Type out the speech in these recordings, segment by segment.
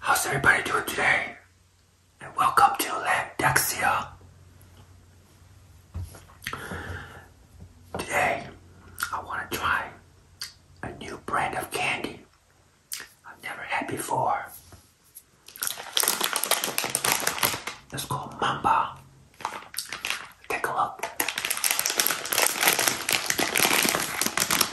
How's everybody doing today? And welcome to Lambdaxia. Today, I want to try a new brand of candy I've never had before. It's called Mamba. Take a look.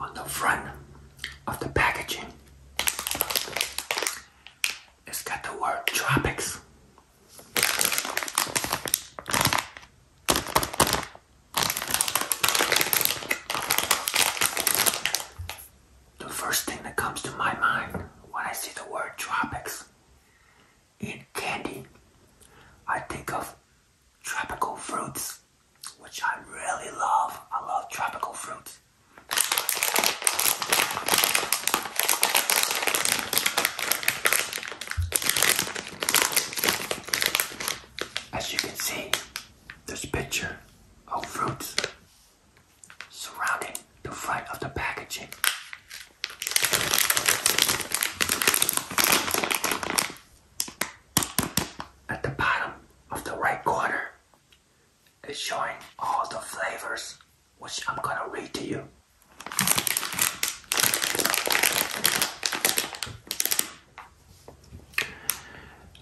On the front of the packaging, it's got the word tropics the first thing that comes to my mind when I see the word tropics in candy, I think of tropical fruits, which I really love. I love tropical fruits. As you can see, this picture of fruits surrounding the front of the packaging. At the bottom of the right corner is showing all the flavors, which I'm gonna read to you.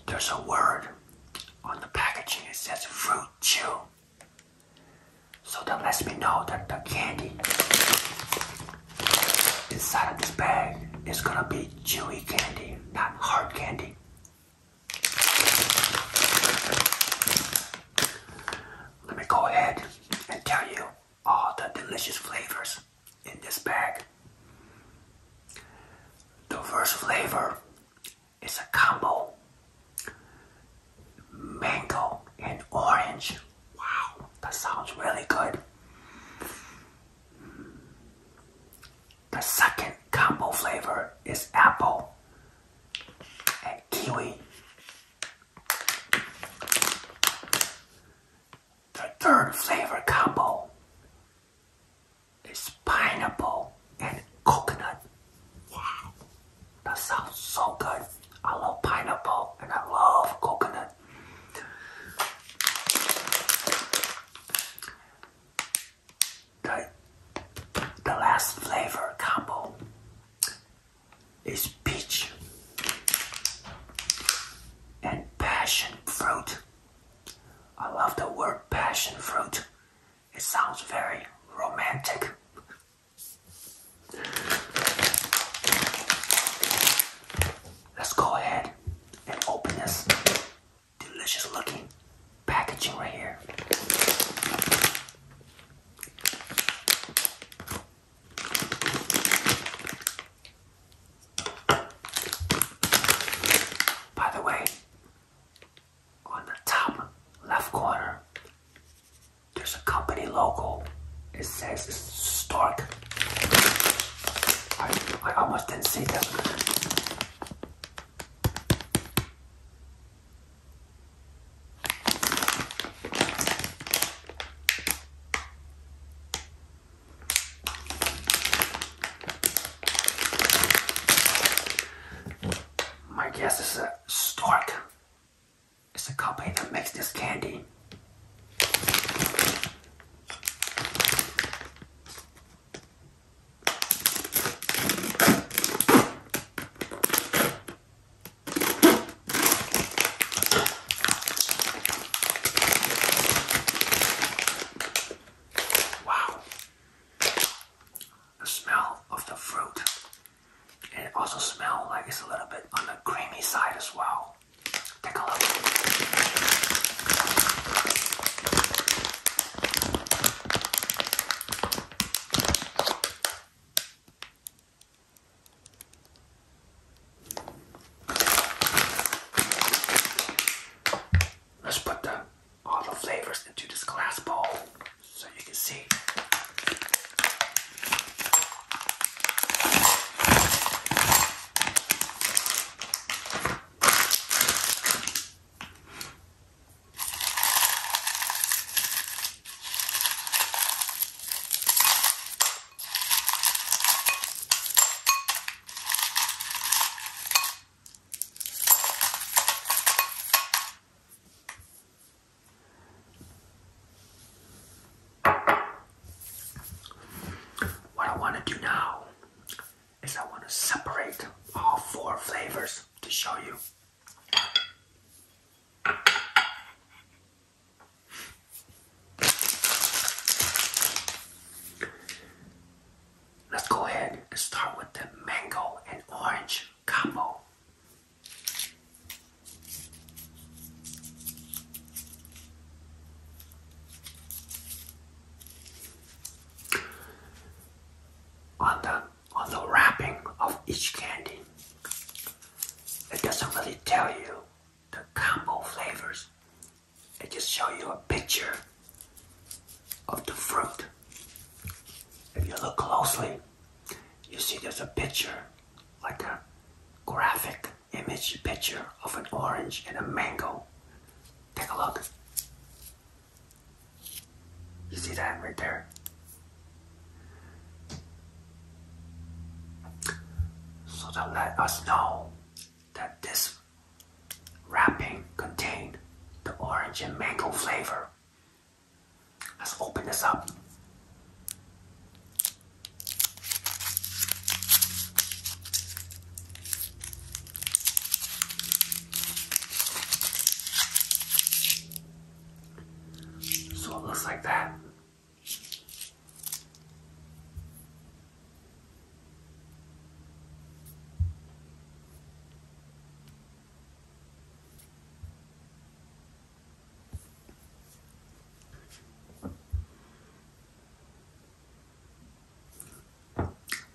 There's a word on the packaging, it says fruit chew. So that lets me know that the candy inside of this bag is gonna be chewy candy, not hard candy. Let me go ahead and tell you all the delicious flavors in this bag. The first flavor is a combo mango and orange. Wow, that sounds really good. The second combo flavor is apple and kiwi. The third flavor combo is pineapple and coconut. Wow, that sounds so good. I love pineapple and I love coconut. The, the last flavor combo is peach and passion fruit. I love the word passion fruit. It sounds very romantic. Let's go ahead and open this delicious looking packaging right here. By the way, on the top left corner, there's a company logo. It says Stark. I, I almost didn't see that. My guess is a Stork It's a company that makes this candy. Wow. The smell of the fruit. And it also smells like it's a little bit on the creamy side as well. Take a look. Let's put all the flavors into this glass bowl so you can see. What I want to do now is I want to separate all four flavors to show you. Let's go ahead and start with the mango and orange combo. On the on the wrapping of each candy, it doesn't really tell you the combo flavors. I just show you a picture of the fruit. If you look closely, you see there's a picture, like a graphic image picture of an orange and a mango. Take a look. You see that right there? So that let us know that this wrapping contained the orange and mango flavor. Let's open this up. So it looks like that.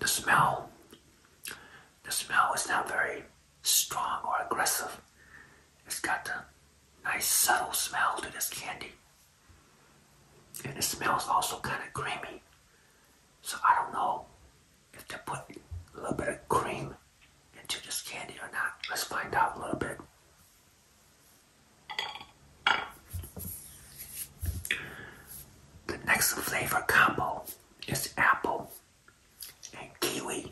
The smell, the smell is not very strong or aggressive. It's got the nice subtle smell to this candy. And it smells also kind of creamy. So I don't know if they put a little bit of cream into this candy or not. Let's find out a little bit. The next flavor combo is apple and kiwi.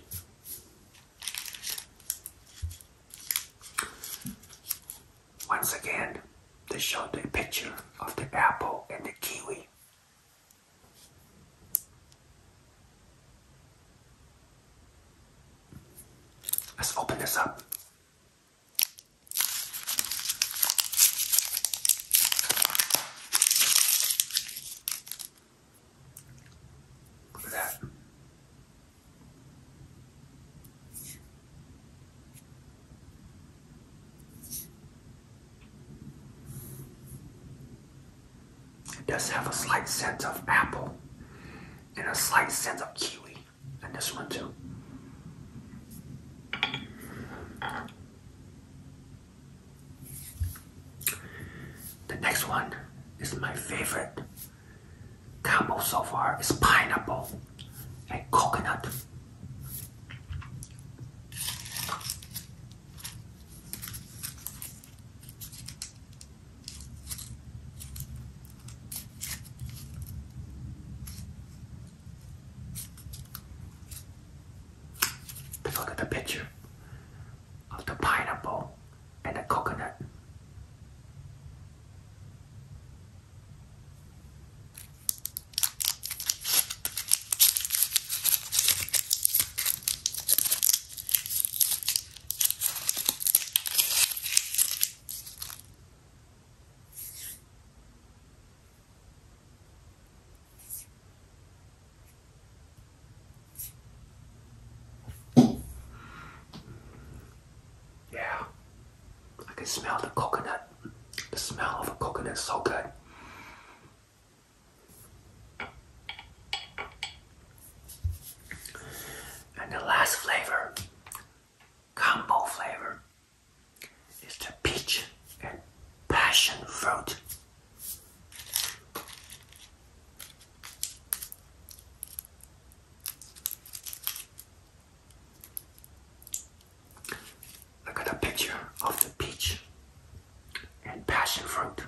Once again, they showed the picture of the apple and the kiwi. Let's open this up. Look at that. It does have a slight scent of apple and a slight scent of kiwi in this one too. The next one is my favorite combo so far is pineapple and coconut. look at the picture of the pineapple and a coconut. Yeah. I can smell the coconut. The smell of a coconut so good. And the last flavor, combo flavor, is the peach and passion fruit. I got a picture of the peach and passion fruit.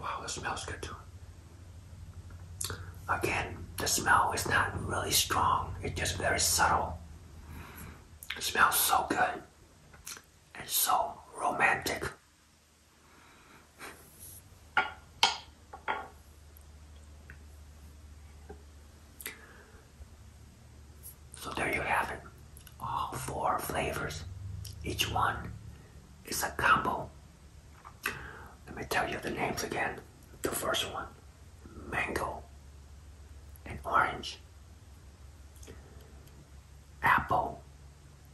Wow, it smells good too. Again, the smell is not really strong, it's just very subtle. It smells so good and so romantic. So there you have it. All four flavors. Each one is a combo. Let me tell you the names again. The first one, mango and orange, apple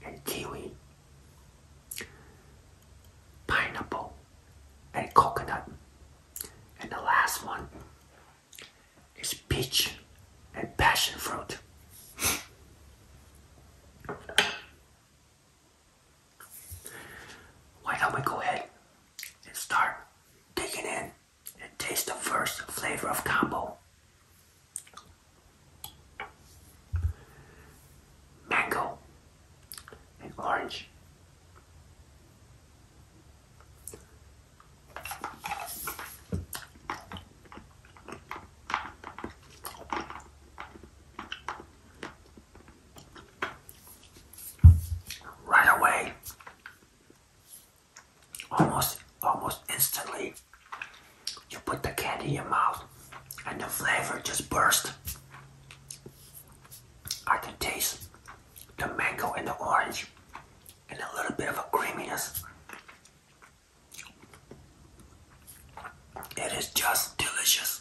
and kiwi, pineapple, and coconut. And the last one is peach and passion fruit. Why don't we go ahead and start digging in and taste the first flavor of combo? Mango and orange. Right away, almost almost instantly, you put the candy in your mouth and the flavor just bursts. I can taste the mango and the orange and a little bit of a creaminess. It is just delicious.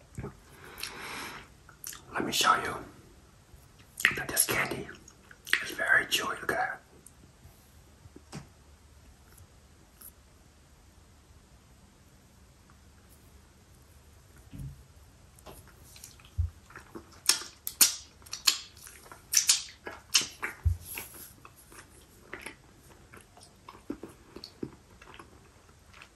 Let me show you that this candy is very chewy. Look at that.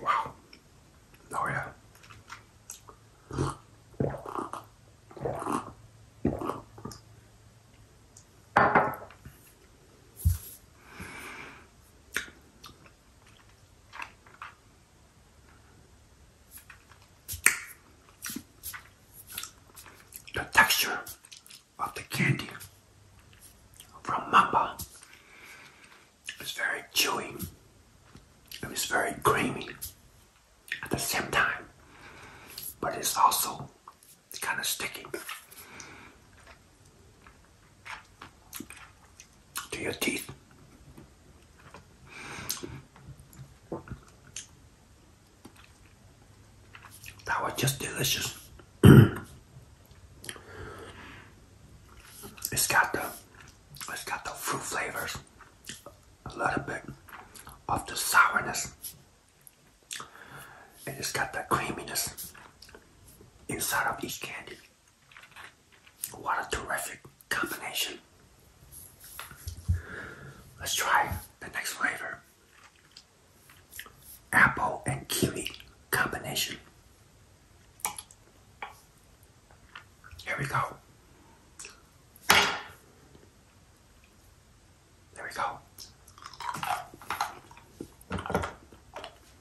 Wow. Oh, yeah. The texture of the candy from Mamba is very chewy. It is very creamy at the same time, but it's also kind of sticky to your teeth. That was just delicious. it's got the it's got the fruit flavors, a little bit of the sourness, and it's got the creaminess inside of each candy. What a terrific combination. Let's try the next flavor. Apple and kiwi combination. Here we go. There we go.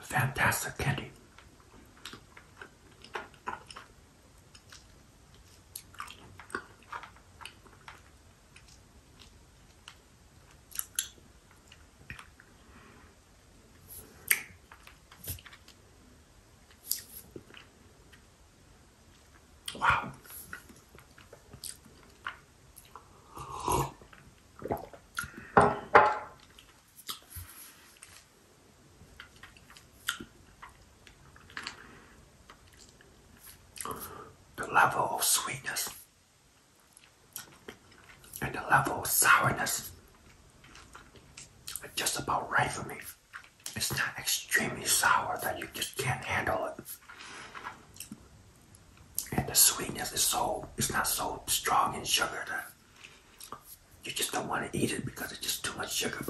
Fantastic candy. Wow. The level of sweetness and the level of sourness are just about right for me. It's not extremely sour that you just can't handle it and the sweetness is so it's not so strong in sugar that you just don't want to eat it because it's just too much sugar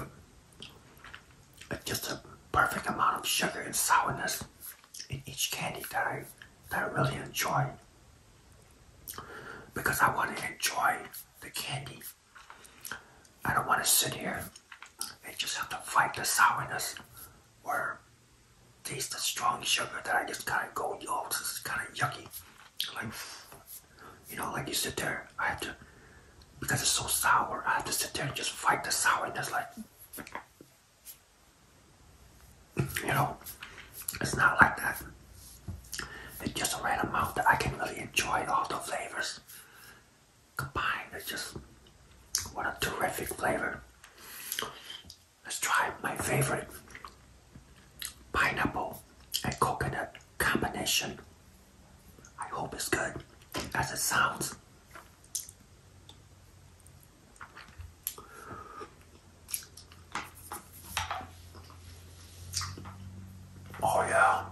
but just a perfect amount of sugar and sourness in each candy that I, that I really enjoy because I want to enjoy the candy I don't want to sit here and just have to fight the sourness or taste the strong sugar that I just kind of go, oh, this is kind of yucky. Like, you know, like you sit there, I have to, because it's so sour, I have to sit there and just fight the sour. And sourness. Like, you know, it's not like that. It's just a right amount that I can really enjoy all the flavors combined. It's just what a terrific flavor. Let's try my favorite pineapple and coconut combination. I hope it's good That's a sound. Oh, yeah.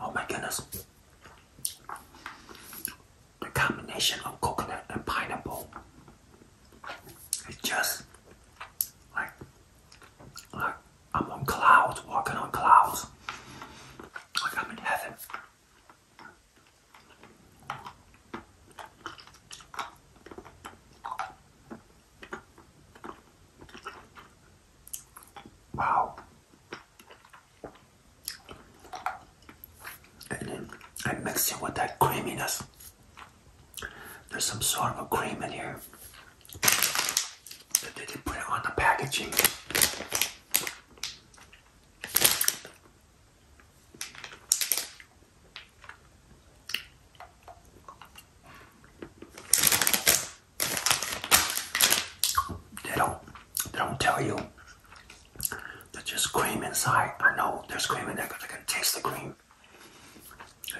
Oh my goodness. The combination of coconut and pineapple is just like, like I'm on clouds, walking on clouds. Like I'm in heaven. Wow. And then I mix it with that creaminess. There's some sort of a cream in here. But they put it on the packaging. They don't they don't tell you. They're just cream inside. I know they're in there because I can taste the cream.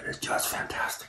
It is just fantastic.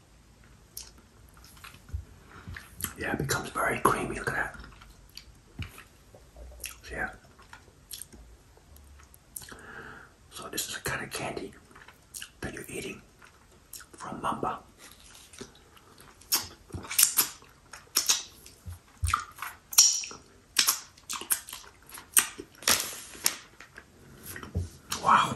Yeah, it becomes very creamy. Look at that. So, yeah. So this is a kind of candy that you're eating from Mamba. Wow,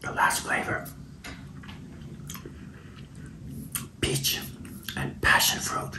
The last flavor peach and passion fruit.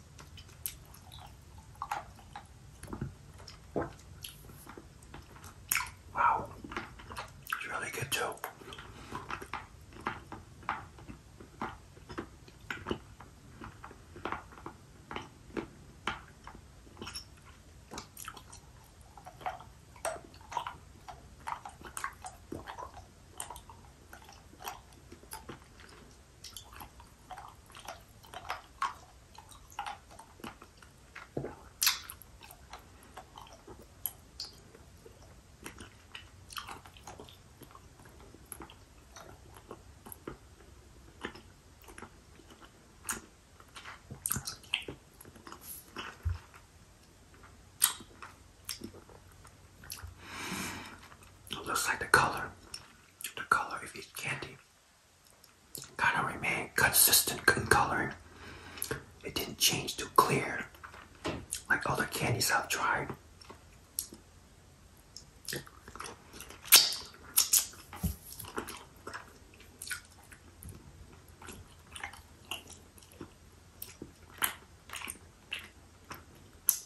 Wow, it's really good too. It looks like the color, the color of each candy kind of remained consistent in color. It didn't change to clear like other candies I've tried.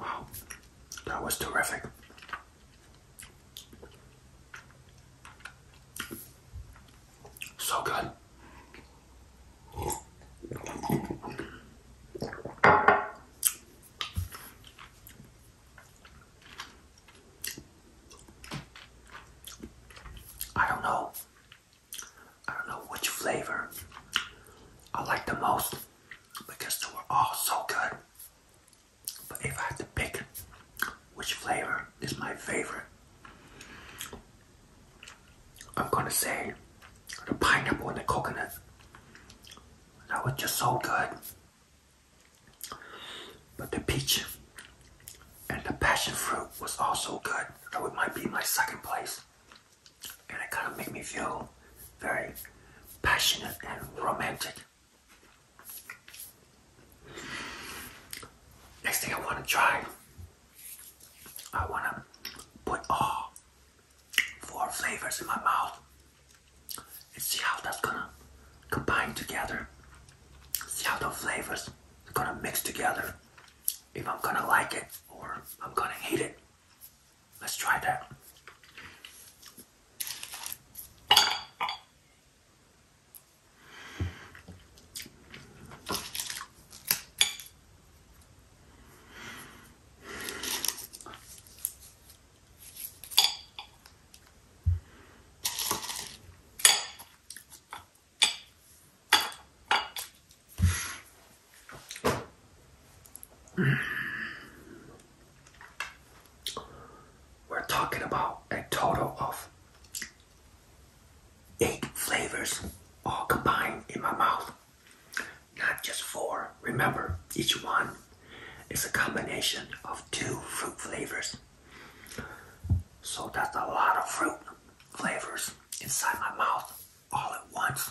Wow, that was terrific. So good. I don't know. I don't know which flavor I like the most because they were all so good. But if I had to pick which flavor is my favorite, I'm gonna say the pineapple and the coconut. That was just so good. But the peach and the passion fruit was also good. Though it might be my second place. And it kind of made me feel very passionate and romantic. Next thing I want to try I want to put all four flavors in my mouth and see how that's going to combine together. See how the flavors are going to mix together. If I'm going to like it or I'm going to hate it. Let's try that. We're talking about a total of eight flavors all combined in my mouth. Not just four. Remember, each one is a combination of two fruit flavors. So that's a lot of fruit flavors inside my mouth all at once.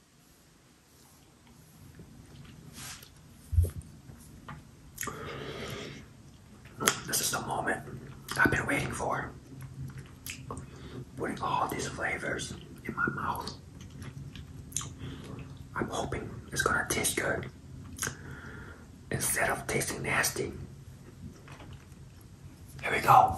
This is the moment I've been waiting for. Putting all these flavors in my mouth. I'm hoping it's gonna taste good instead of tasting nasty. Here we go.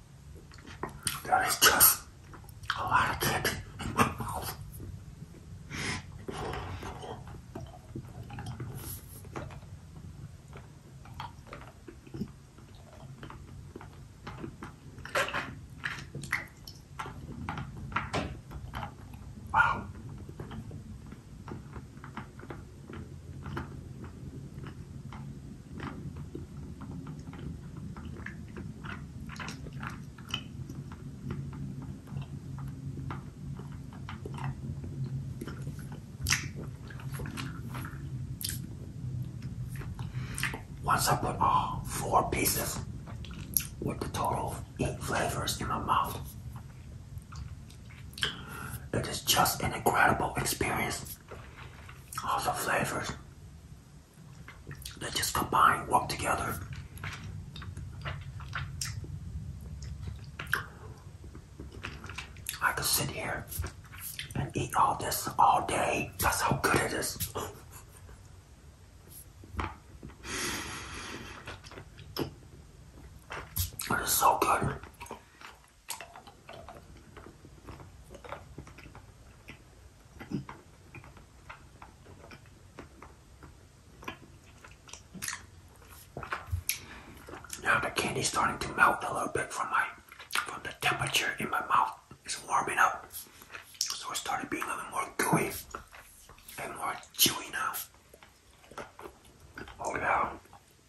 There is just a lot of candy in my mouth. Wow. Once I put all four pieces with the total of eight flavors in my mouth, it is just an incredible experience all the flavors that just combine, work together. I could sit here and eat all this all day. That's how good it is. It is so good. Now the candy is starting to melt a little bit from my from the temperature in my mouth. It's warming up. So it started being a little more gooey and more chewy now. Oh yeah.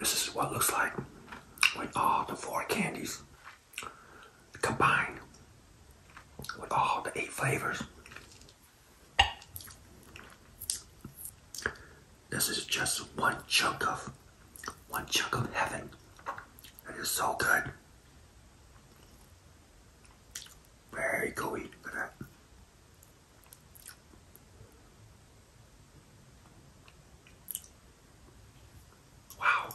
This is what looks like with all the four candies combined with all the eight flavors. This is just one chunk of one chunk of heaven. It is so good. Very gooey. Look at that. Wow.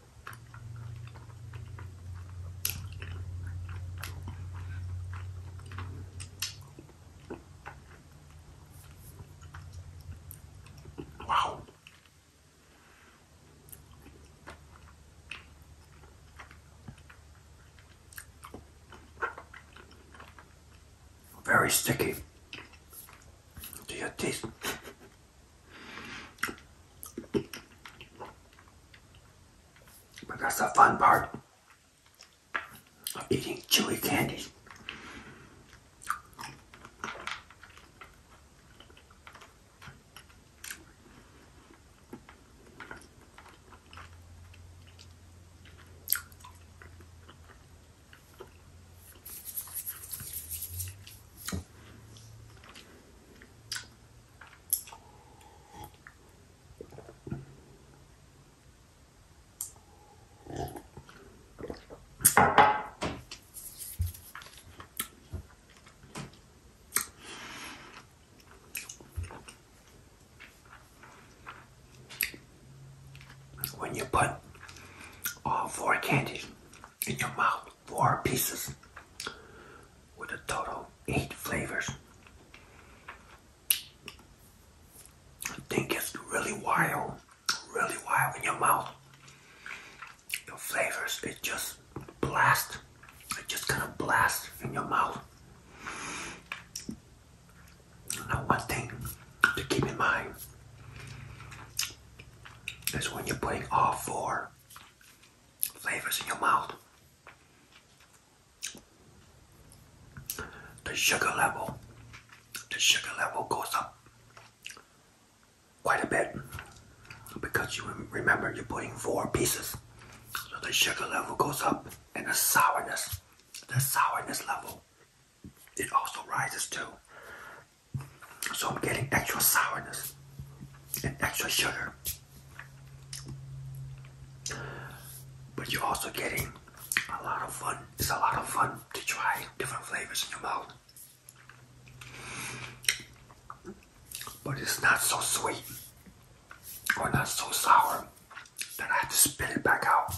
Wow. Very sticky to your teeth. But that's the fun part of eating chewy candies. When you put all four candies in your mouth. Four pieces with a total eight flavors. I think it's really wild, really wild in your mouth. Your flavors, it just blast. It just kind of blast in your mouth. Now one thing to keep in mind is when you're putting all four flavors in your mouth. The sugar level, the sugar level goes up quite a bit because you remember you're putting four pieces, so the sugar level goes up and the sourness, the sourness level, it also rises too. So I'm getting extra sourness and extra sugar. But you're also getting a lot of fun. It's a lot of fun to try different flavors in your mouth. But it's not so sweet or not so sour that I have to spit it back out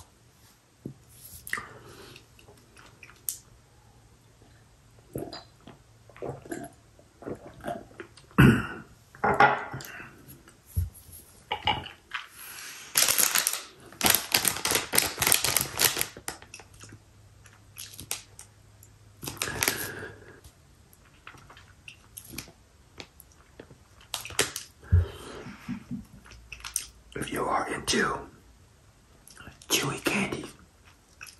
if you are into chewy candy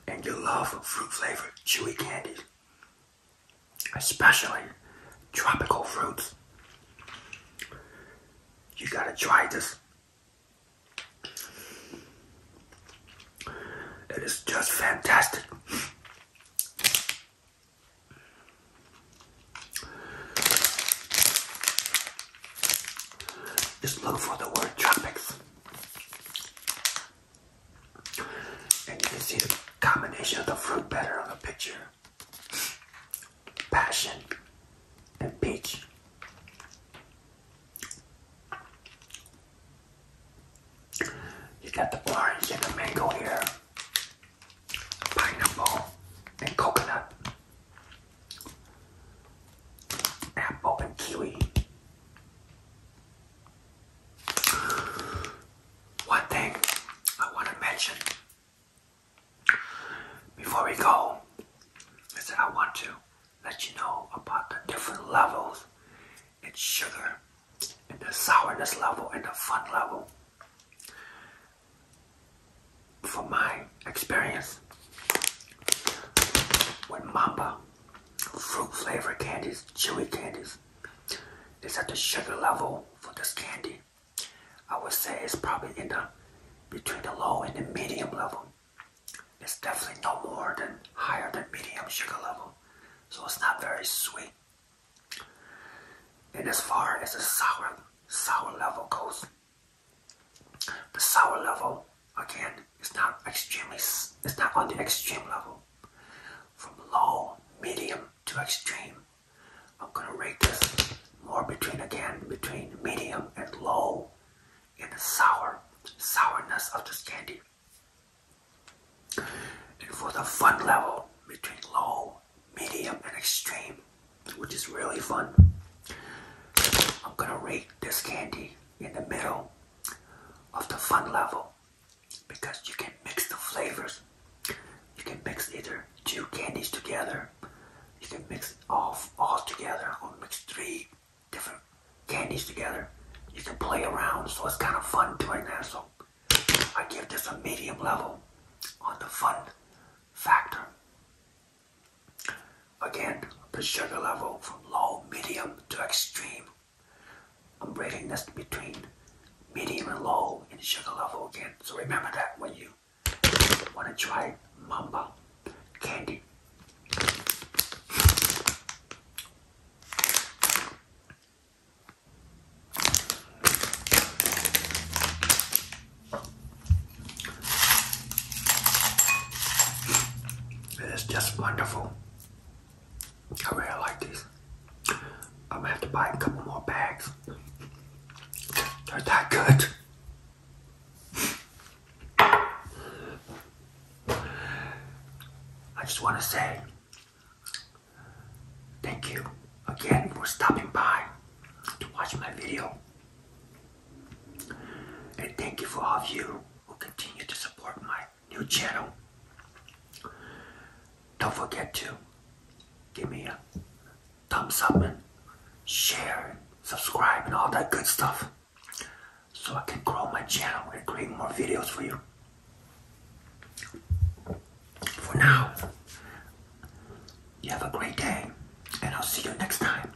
and you love fruit flavored chewy candy especially tropical fruits. You gotta try this. It is just fantastic. Just look for the word tropics. And you can see the combination of the fruit better on the picture. Passion and peach. You got the orange and the mango here, pineapple and coconut, apple and kiwi, one thing I want to mention before we go is that I want to let you know about the different levels in sugar and the sourness level and the fun level. From my experience with Mamba fruit flavor candies, chewy candies. It's at the sugar level for this candy. I would say it's probably in the between the low and the medium level. It's definitely no more than higher than medium sugar level. So it's not very sweet. And as far as the sour sour level goes, the sour level again it's not extremely, it's not on the extreme level. From low, medium to extreme. I'm gonna rate this more between, again, between medium and low in the sour, sourness of this candy. And for the fun level, between low, medium, and extreme, which is really fun, I'm gonna rate this candy in the middle of the fun level because you can mix the flavors. You can mix either two candies together. You can mix all all together, or mix three different candies together. You can play around, so it's kind of fun doing that. So I give this a medium level on the fun factor. Again, the sugar level from low, medium to extreme I'm breaking this between medium and low in sugar level again. So remember that when you want to try mamba candy. It is just wonderful. I really like these. I'm gonna have to buy a couple more bags. They're that good. I just want to say thank you again for stopping by to watch my video. And thank you for all of you who continue to support my new channel. Don't forget to give me a thumbs up and share and subscribe and all that good stuff so I can grow my channel and create more videos for you. For now, you have a great day and I'll see you next time.